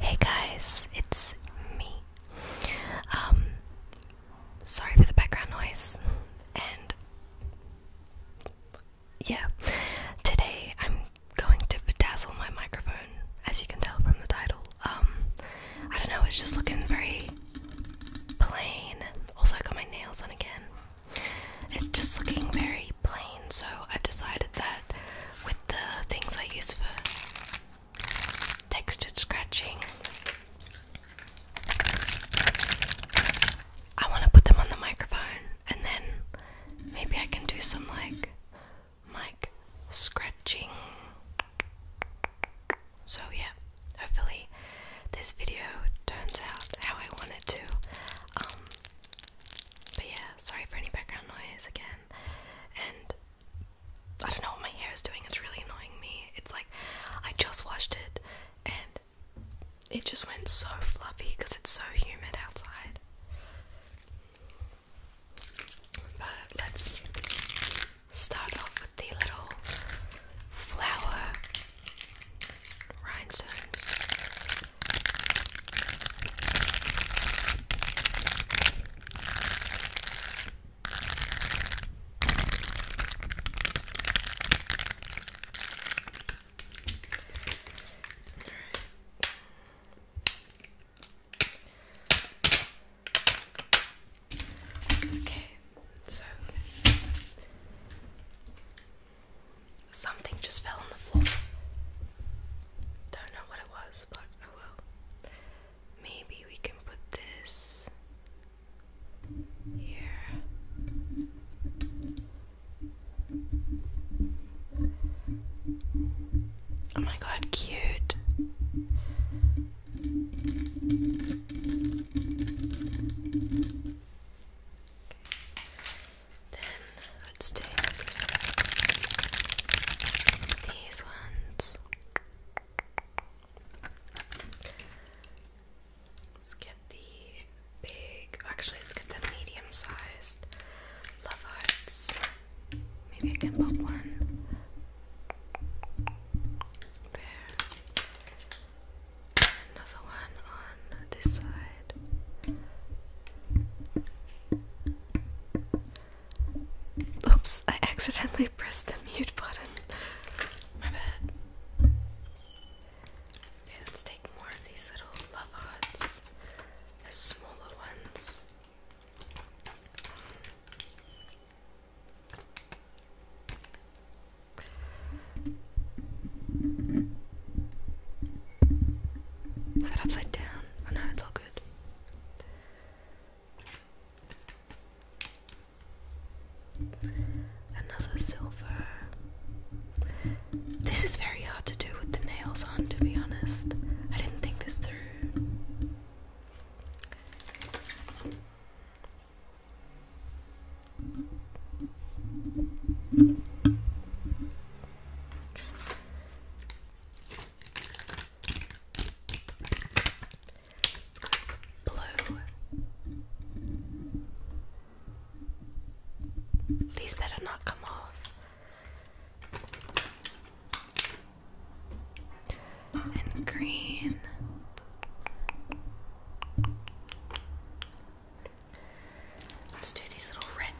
Hey guys, it's me. Um, sorry for the background noise. And yeah, today I'm going to bedazzle my microphone as you can tell from the title. Um, I don't know, it's just looking very plain. Also, I got my nails done again. It's just looking very plain, so I've decided that with the things I use for textured scratching, I want to put them on the microphone and then maybe I can do some like mic scratching. So, yeah, hopefully, this video turns out how I want it to. Um, but yeah, sorry for any background noise again. And I don't know what my hair is doing, it's really annoying me. It's like I just washed it and it just went so fluffy because it's so humid outside. But let's start off with the little flower rhinestones. Okay, so something just fell on the floor. Don't know what it was, but oh well. Maybe we can put this here. Oh my god, cute. Then let's take these ones. Let's get the big, actually, let's get the medium sized love hearts. Maybe I can pop one there. Another one on this side. Oops, I accidentally pressed the mute button. My bad. Okay, let's take more of these little love hearts, the smaller ones. Is that upside down? Oh, no, it's all good. Another silver. This is very hard to do with the nails on, to be honest. I didn't think this through. Blue. These better not come off and green. Let's do these little red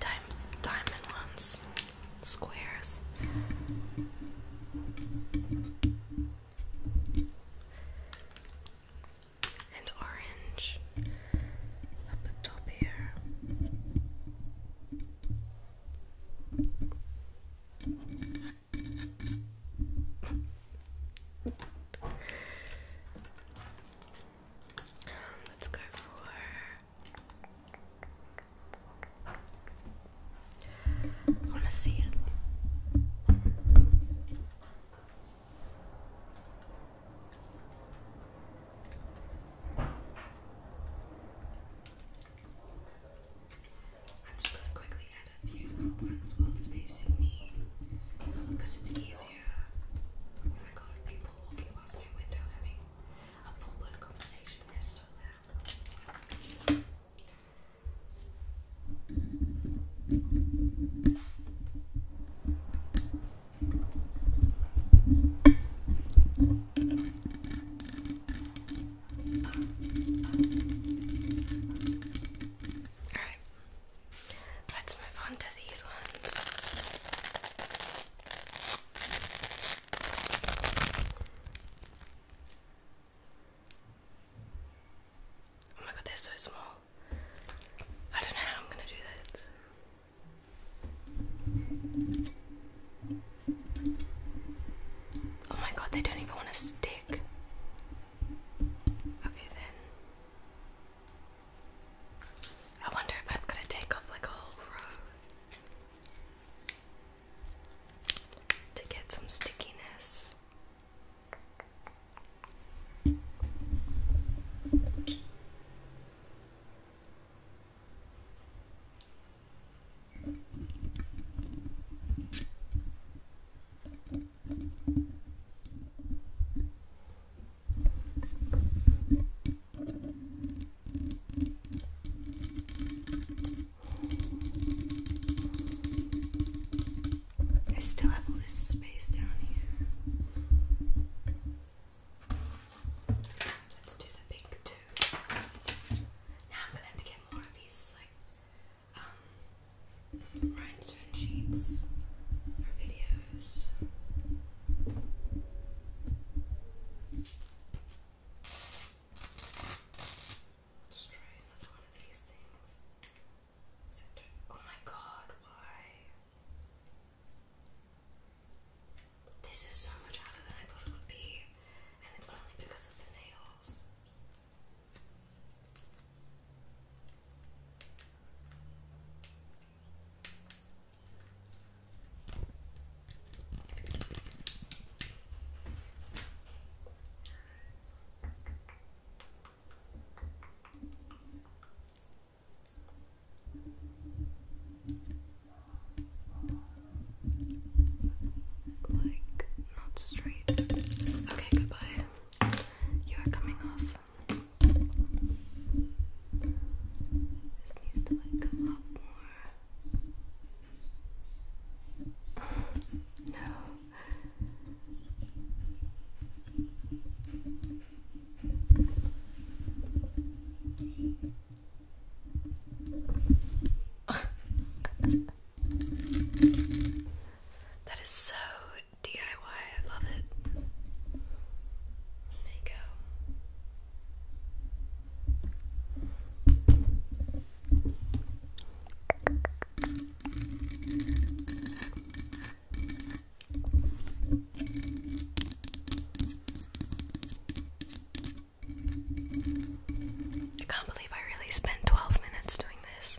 diamond ones, squares. And orange up the top here let's go for I want to see it. I'm just gonna quickly add a few little ones while it's facing me because it's easier. Oh my people walking past my window having a full blown conversation, they're so Alright, let's move on to these ones. Oh my god, they're so small. I don't know how I'm gonna do this. Oh my god, they don't even want to stick. Okay, then. I wonder if I've got to take off like a whole row to get some stickiness. I still have all this space down here. Let's do the big two. Now I'm gonna have to get more of these like um, rhinestone sheets for videos. Let's try another one of these things. Oh my god, why? This is so much harder than I thought it would be and it's only because of the nails like not straight. Okay, goodbye. You are coming off. This needs to like come up more. no. that is so DIY. I love it. There you go. I can't believe I really spent 12 minutes doing this.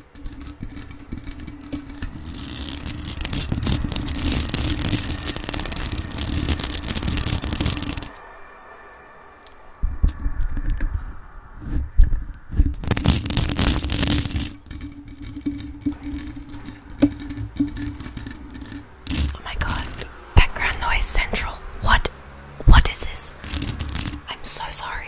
Oh my god, background noise central. What? What is this? I'm so sorry.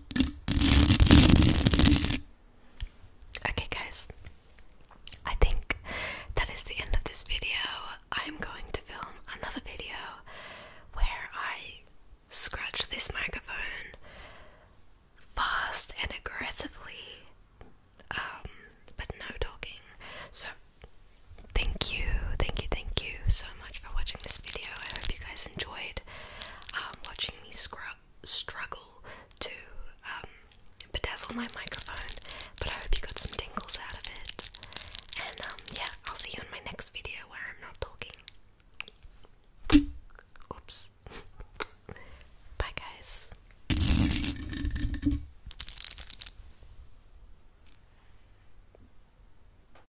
Okay, guys, I think that is the end of this video. I'm going to film another video where I scratch this microphone fast and aggressively, um, but no talking. So, thank you, thank you, thank you so much for watching this video. I hope you guys enjoyed. Um, watching me struggle to um, bedazzle my microphone, but I hope you got some tingles out of it. And um, yeah, I'll see you in my next video where I'm not talking. Oops. Bye, guys.